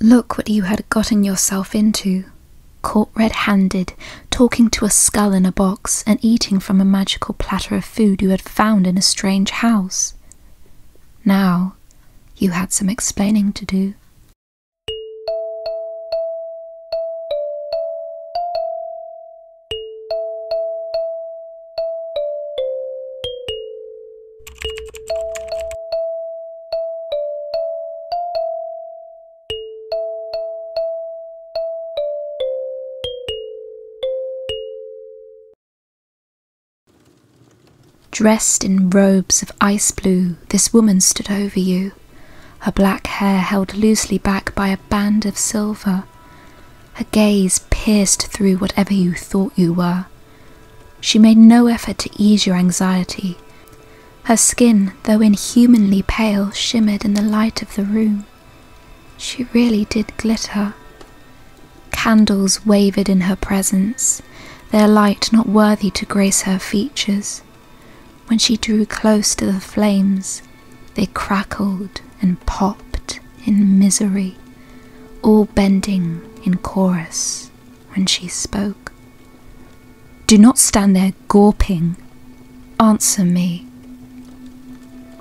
Look what you had gotten yourself into. Caught red handed, talking to a skull in a box, and eating from a magical platter of food you had found in a strange house. Now you had some explaining to do. Dressed in robes of ice blue, this woman stood over you, her black hair held loosely back by a band of silver. Her gaze pierced through whatever you thought you were. She made no effort to ease your anxiety. Her skin, though inhumanly pale, shimmered in the light of the room. She really did glitter. Candles wavered in her presence, their light not worthy to grace her features. When she drew close to the flames, they crackled and popped in misery, all bending in chorus when she spoke. Do not stand there gawping. Answer me.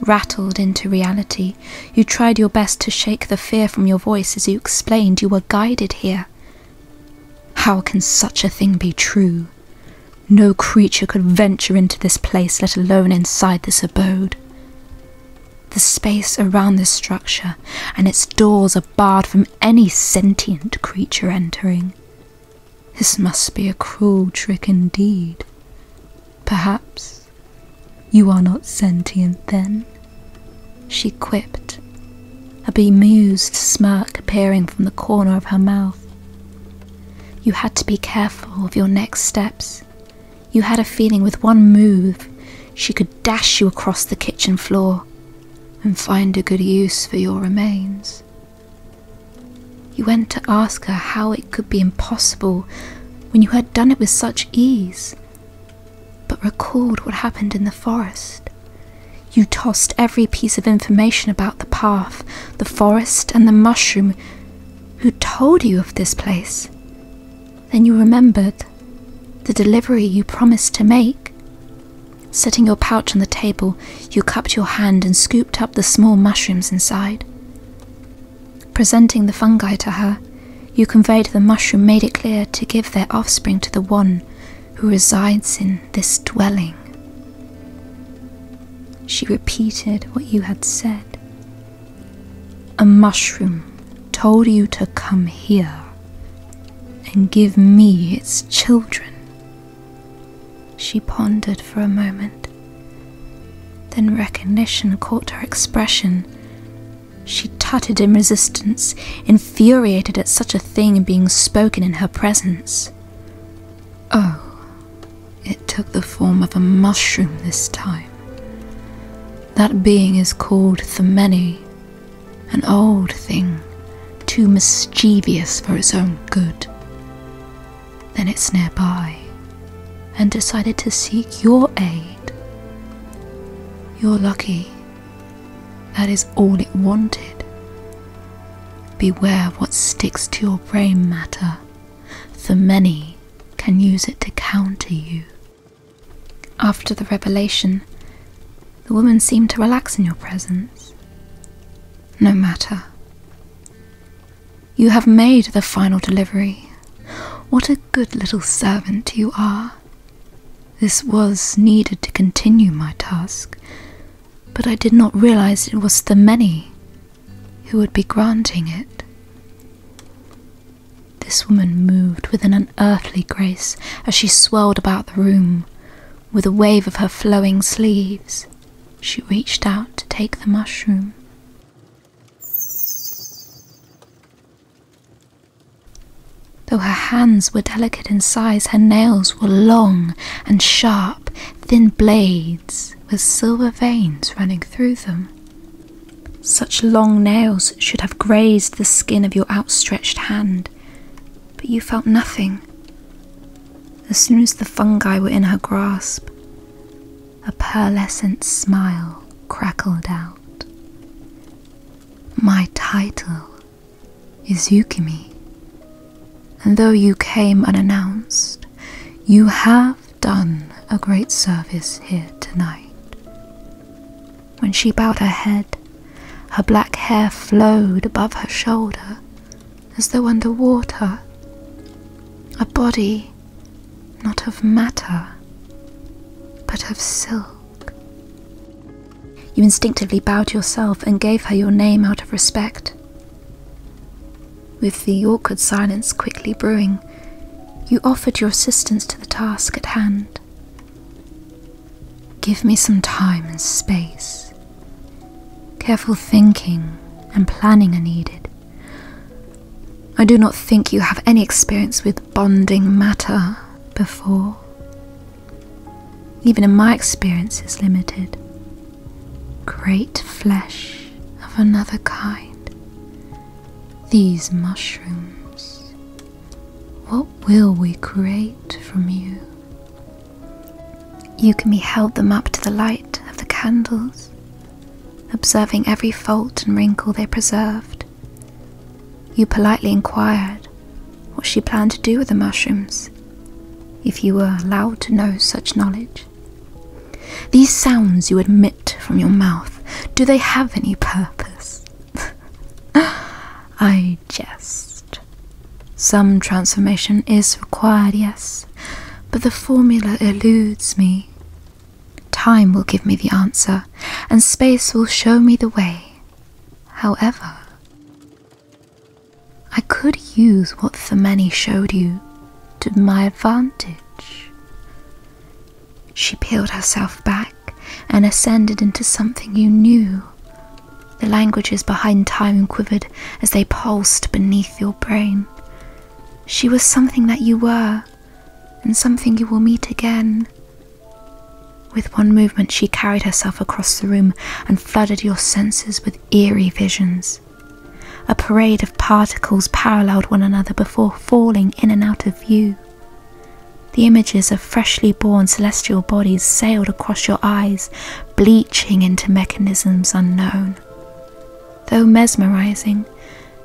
Rattled into reality you tried your best to shake the fear from your voice as you explained you were guided here. How can such a thing be true? No creature could venture into this place, let alone inside this abode. The space around this structure and its doors are barred from any sentient creature entering. This must be a cruel trick indeed. Perhaps you are not sentient then? She quipped, a bemused smirk appearing from the corner of her mouth. You had to be careful of your next steps. You had a feeling with one move she could dash you across the kitchen floor and find a good use for your remains. You went to ask her how it could be impossible when you had done it with such ease, but recalled what happened in the forest. You tossed every piece of information about the path, the forest, and the mushroom. Who told you of this place? Then you remembered the delivery you promised to make. Setting your pouch on the table, you cupped your hand and scooped up the small mushrooms inside. Presenting the fungi to her, you conveyed the mushroom, made it clear to give their offspring to the one who resides in this dwelling. She repeated what you had said. A mushroom told you to come here and give me its children. She pondered for a moment. Then recognition caught her expression she tutted in resistance, infuriated at such a thing being spoken in her presence. Oh, it took the form of a mushroom this time. That being is called the Many, an old thing, too mischievous for its own good. Then it's nearby, and decided to seek your aid. You're lucky that is all it wanted. Beware what sticks to your brain matter, for many can use it to counter you. After the revelation, the woman seemed to relax in your presence. No matter. You have made the final delivery. What a good little servant you are. This was needed to continue my task, but I did not realize it was the many who would be granting it. This woman moved with an unearthly grace as she swirled about the room. With a wave of her flowing sleeves, she reached out to take the mushroom. Though her hands were delicate in size, her nails were long and sharp, thin blades with silver veins running through them. Such long nails should have grazed the skin of your outstretched hand, but you felt nothing. As soon as the fungi were in her grasp, a pearlescent smile crackled out. My title is Yukimi, and though you came unannounced, you have done a great service here tonight. When she bowed her head, her black hair flowed above her shoulder as though under water. A body not of matter, but of silk. You instinctively bowed yourself and gave her your name out of respect. With the awkward silence quickly brewing, you offered your assistance to the task at hand. Give me some time and space. Careful thinking and planning are needed. I do not think you have any experience with bonding matter, before. Even in my experience, it's limited. Great flesh of another kind. These mushrooms. What will we create from you? You can be held them up to the light of the candles, observing every fault and wrinkle they preserved, you politely inquired what she planned to do with the mushrooms, if you were allowed to know such knowledge. These sounds you emit from your mouth, do they have any purpose? I jest. Some transformation is required, yes, but the formula eludes me. Time will give me the answer, and space will show me the way. However, I could use what the many showed you to my advantage. She peeled herself back and ascended into something you knew. The languages behind time quivered as they pulsed beneath your brain. She was something that you were, and something you will meet again, with one movement, she carried herself across the room and flooded your senses with eerie visions. A parade of particles paralleled one another before falling in and out of view. The images of freshly born celestial bodies sailed across your eyes, bleaching into mechanisms unknown. Though mesmerizing,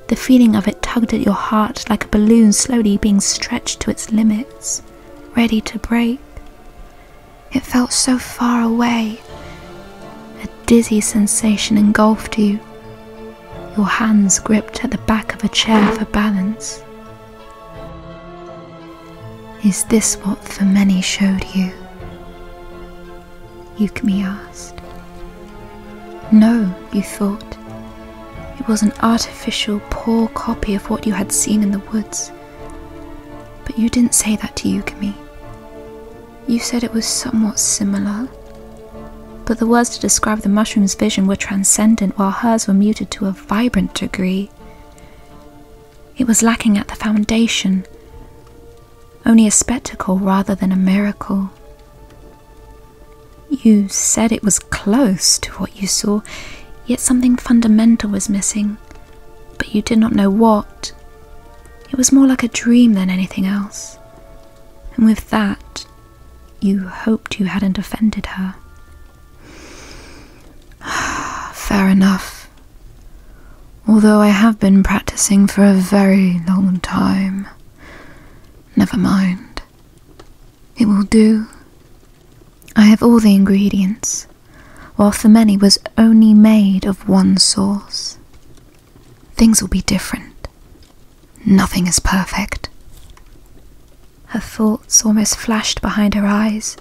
the feeling of it tugged at your heart like a balloon slowly being stretched to its limit ready to break. It felt so far away. A dizzy sensation engulfed you. Your hands gripped at the back of a chair for balance. Is this what the many showed you? Yukimi asked. No, you thought it. was an artificial, poor copy of what you had seen in the woods. But you didn't say that to Yukimi. You said it was somewhat similar. But the words to describe the mushroom's vision were transcendent, while hers were muted to a vibrant degree. It was lacking at the foundation, only a spectacle rather than a miracle. You said it was close to what you saw, yet something fundamental was missing, but you did not know what. It was more like a dream than anything else, and with that, you hoped you hadn't offended her. Fair enough. Although I have been practicing for a very long time. Never mind. It will do. I have all the ingredients, while the many was only made of one source. Things will be different. Nothing is perfect. Her thoughts almost flashed behind her eyes.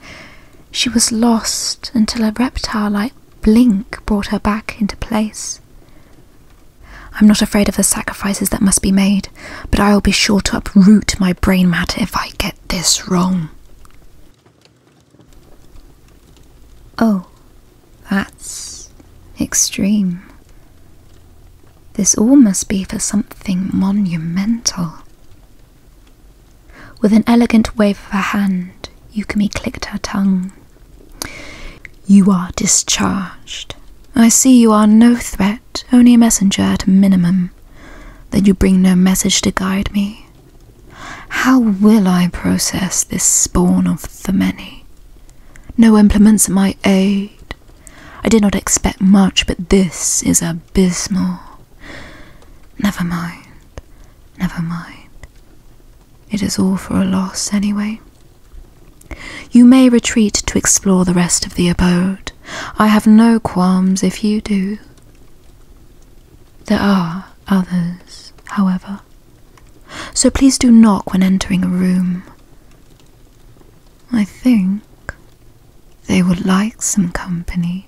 She was lost until a reptile like blink brought her back into place. I'm not afraid of the sacrifices that must be made but I will be sure to uproot my brain matter if I get this wrong. Oh, that's extreme. This all must be for something monumental. With an elegant wave of her hand, Yukimi clicked her tongue. You are discharged. I see you are no threat only a messenger at a minimum, Then you bring no message to guide me. How will I process this spawn of the many? No implements at my aid. I did not expect much, but this is abysmal. Never mind, never mind. It is all for a loss, anyway. You may retreat to explore the rest of the abode. I have no qualms if you do. There are others, however, so please do knock when entering a room. I think they would like some company.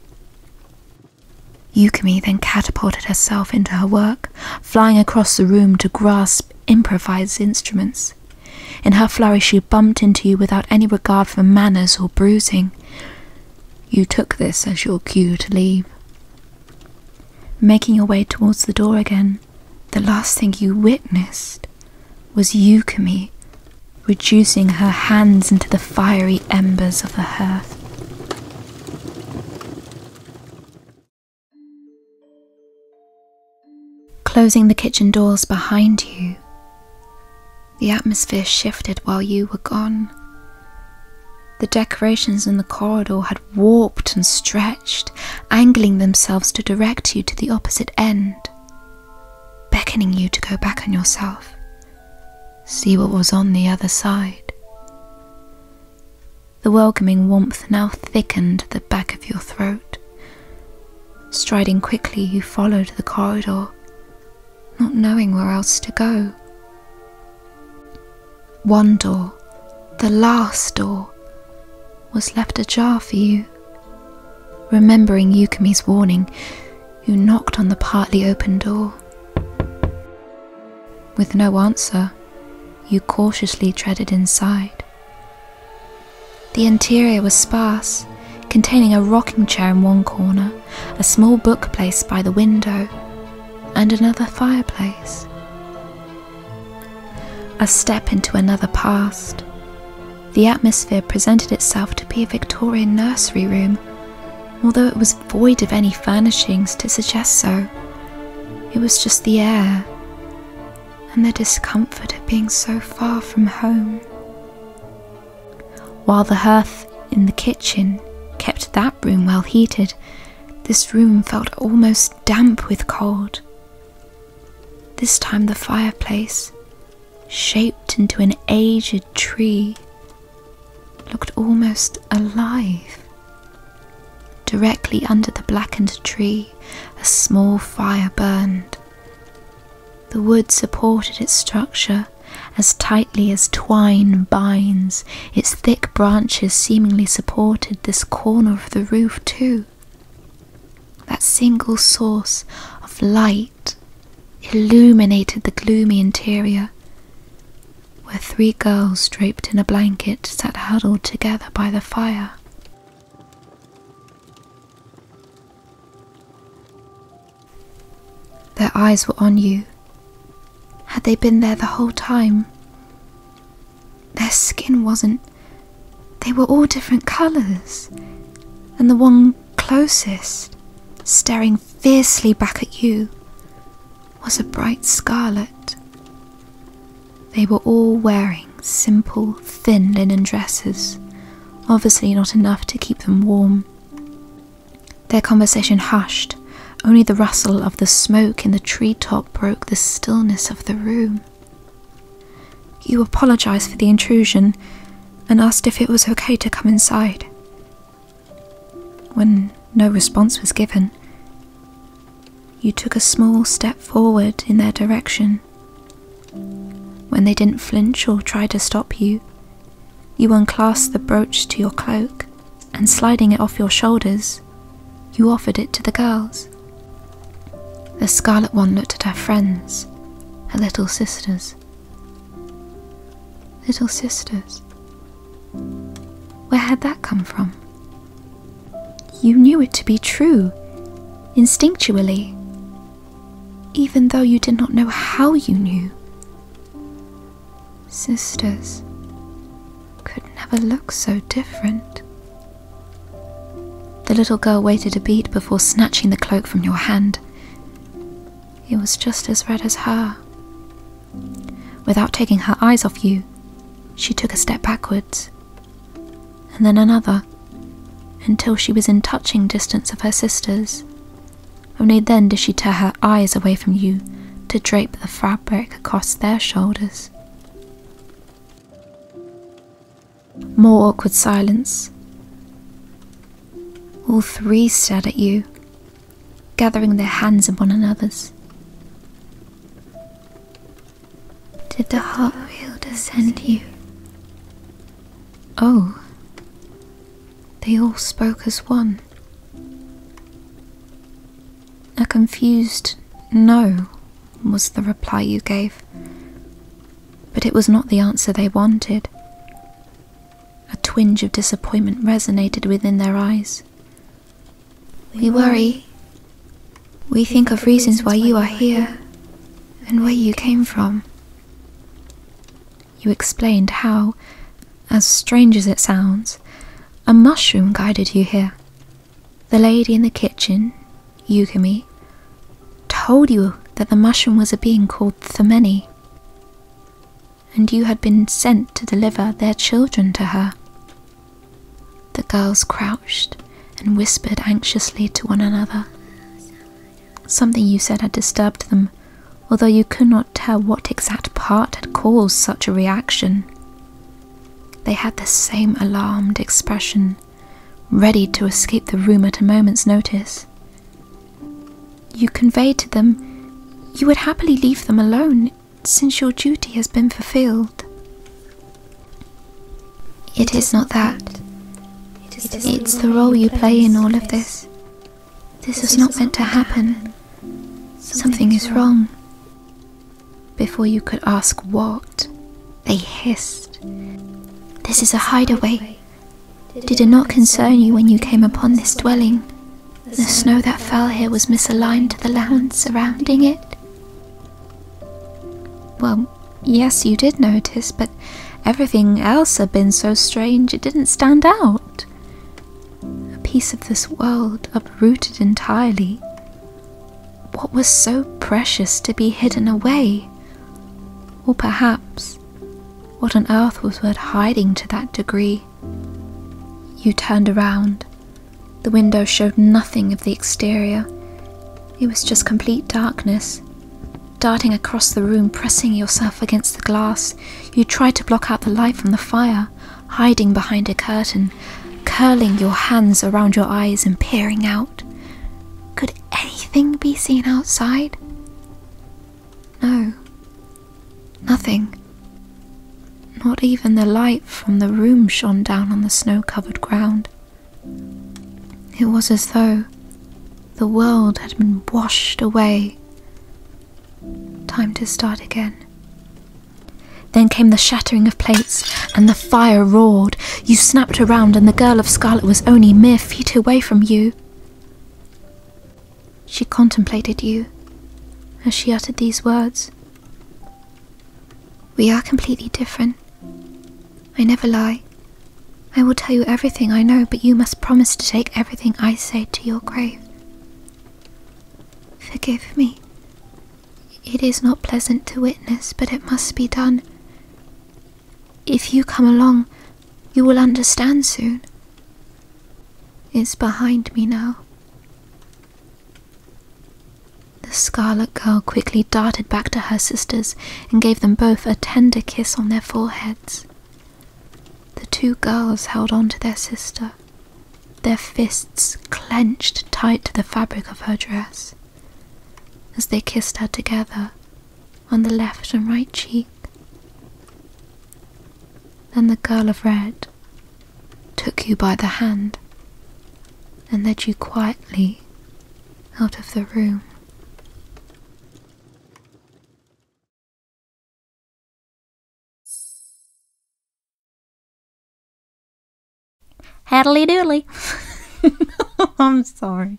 Yukimi then catapulted herself into her work, flying across the room to grasp improvised instruments. In her flurry, she bumped into you without any regard for manners or bruising. You took this as your cue to leave. Making your way towards the door again, the last thing you witnessed was Yukimi reducing her hands into the fiery embers of the hearth. Closing the kitchen doors behind you, the atmosphere shifted while you were gone. The decorations in the corridor had warped and stretched, angling themselves to direct you to the opposite end, beckoning you to go back on yourself, see what was on the other side. The welcoming warmth now thickened the back of your throat, Striding quickly, you followed the corridor, not knowing where else to go. One door, the last door, was left ajar for you. Remembering Yukumi's warning, you knocked on the partly open door. With no answer, you cautiously treaded inside. The interior was sparse, containing a rocking chair in one corner, a small bookcase by the window, and another fireplace. A step into another past. The atmosphere presented itself to be a Victorian nursery room, although it was void of any furnishings to suggest so. It was just the air and the discomfort of being so far from home. While the hearth in the kitchen kept that room well heated, this room felt almost damp with cold. This time the fireplace, shaped into an aged tree, looked almost alive. Directly under the blackened tree, a small fire burned. The wood supported its structure as tightly as twine binds, its thick branches seemingly supported this corner of the roof too. That single source of light illuminated the gloomy interior, where three girls draped in a blanket sat huddled together by the fire. Their eyes were on you. Had they been there the whole time? Their skin wasn't. They were all different colours, and the one closest, staring fiercely back at you, was a bright scarlet. They were all wearing simple, thin linen dresses, obviously not enough to keep them warm. Their conversation hushed, only the rustle of the smoke in the tree top broke the stillness of the room. You apologized for the intrusion and asked if it was okay to come inside. When no response was given, you took a small step forward in their direction when they didn't flinch or try to stop you, you unclasped the brooch to your cloak, and sliding it off your shoulders, you offered it to the girls. The Scarlet One looked at her friends, her little sisters. Little sisters? Where had that come from? You knew it to be true, instinctually, even though you did not know how you knew. Sisters could never look so different. The little girl waited a beat before snatching the cloak from your hand. It was just as red as her. Without taking her eyes off you, she took a step backwards, and then another, until she was in touching distance of her sisters. Only then did she tear her eyes away from you to drape the fabric across their shoulders. More awkward silence. All three stared at you, gathering their hands in one another's. Did the Heart Wheel descend you? Oh, they all spoke as one. A confused no was the reply you gave, but it was not the answer they wanted. A twinge of disappointment resonated within their eyes. We worry. We think of reasons why you are here and where you came from you explained how, as strange as it sounds, a mushroom guided you here. The lady in the kitchen, Yukimi, told you that the mushroom was a being called Themeni, and you had been sent to deliver their children to her. The girls crouched and whispered anxiously to one another. Something you said had disturbed them, although you could not tell what exact part had caused such a reaction. They had the same alarmed expression, ready to escape the room at a moment's notice. You conveyed to them you would happily leave them alone since your duty has been fulfilled. It is not that. It's the role you play in all of this. This was not meant to happen. Something is wrong. Before you could ask what, they hissed. This is a hideaway. Did it not concern you when you came upon this dwelling? The snow that fell here was misaligned to the land surrounding it? Well, yes, you did notice, but Everything else had been so strange it didn't stand out. A piece of this world uprooted entirely. What was so precious to be hidden away? Or perhaps, what on earth was worth hiding to that degree? You turned around. The window showed nothing of the exterior. It was just complete darkness. Darting across the room, pressing yourself against the glass, you tried to block out the light from the fire, hiding behind a curtain, curling your hands around your eyes and peering out. Could anything be seen outside? No. Nothing. Not even the light from the room shone down on the snow covered ground. It was as though the world had been washed away. Time to start again. Then came the shattering of plates, and the fire roared. You snapped around, and the girl of scarlet was only mere feet away from you. She contemplated you as she uttered these words. We are completely different. I never lie. I will tell you everything I know, but you must promise to take everything I say to your grave. Forgive me. It is not pleasant to witness, but it must be done. If you come along, you will understand soon. It's behind me now. The Scarlet Girl quickly darted back to her sisters and gave them both a tender kiss on their foreheads. The two girls held on to their sister, their fists clenched tight to the fabric of her dress. As they kissed her together on the left and right cheek. Then the girl of red took you by the hand and led you quietly out of the room. Haddly doodly. I'm sorry.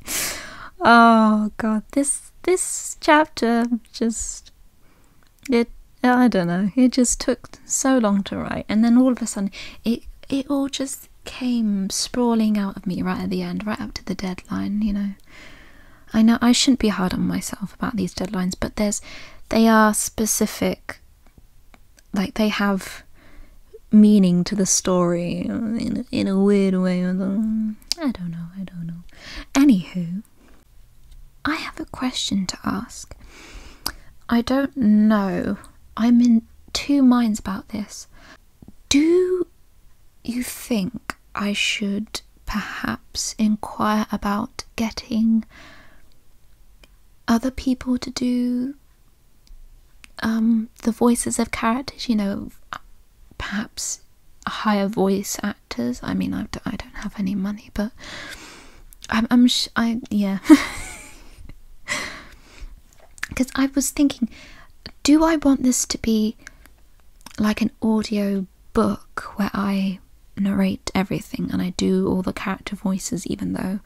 Oh god, this this chapter just it I don't know. It just took so long to write, and then all of a sudden, it it all just came sprawling out of me right at the end, right up to the deadline. You know, I know I shouldn't be hard on myself about these deadlines, but there's they are specific like they have meaning to the story in, in a weird way. I don't know, I don't know. Anywho, I have a question to ask. I don't know. I'm in two minds about this do you think I should perhaps inquire about getting other people to do um, the voices of characters? You know, perhaps higher voice actors. I mean, I, don't have any money, but I'm, I'm sh I yeah. Because I was thinking, do I want this to be like an audio book where I narrate everything and I do all the character voices, even though,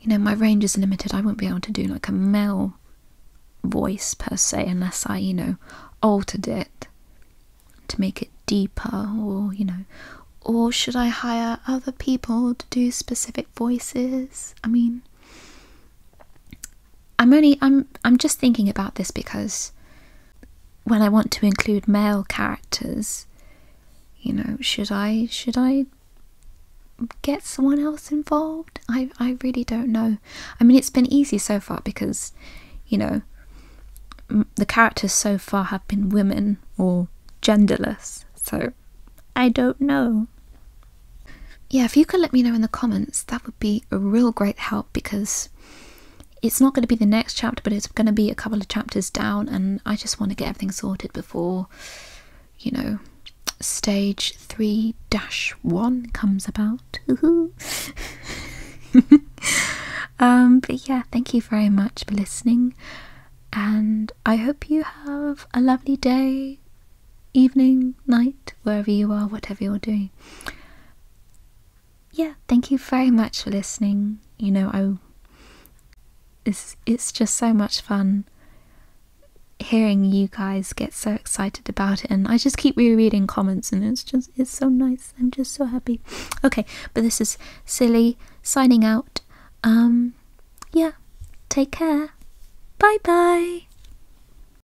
you know, my range is limited. I won't be able to do like a male voice per se unless I, you know, altered it to make it deeper or, you know, or should I hire other people to do specific voices? I mean, I'm only I'm I'm just thinking about this because when I want to include male characters, you know, should I should I get someone else involved? I I really don't know. I mean, it's been easy so far because, you know, the characters so far have been women or genderless. So I don't know. Yeah, if you could let me know in the comments, that would be a real great help because it's not going to be the next chapter, but it's going to be a couple of chapters down, and I just want to get everything sorted before, you know, stage 3 dash 1 comes about. Um, but yeah, thank you very much for listening, and I hope you have a lovely day, evening, night, wherever you are, whatever you're doing. Yeah, thank you very much for listening. You know, I it's it's just so much fun hearing you guys get so excited about it and I just keep re-reading comments and it's just it's so nice. I'm just so happy. Okay, but this is silly signing out. Um yeah, take care. Bye bye.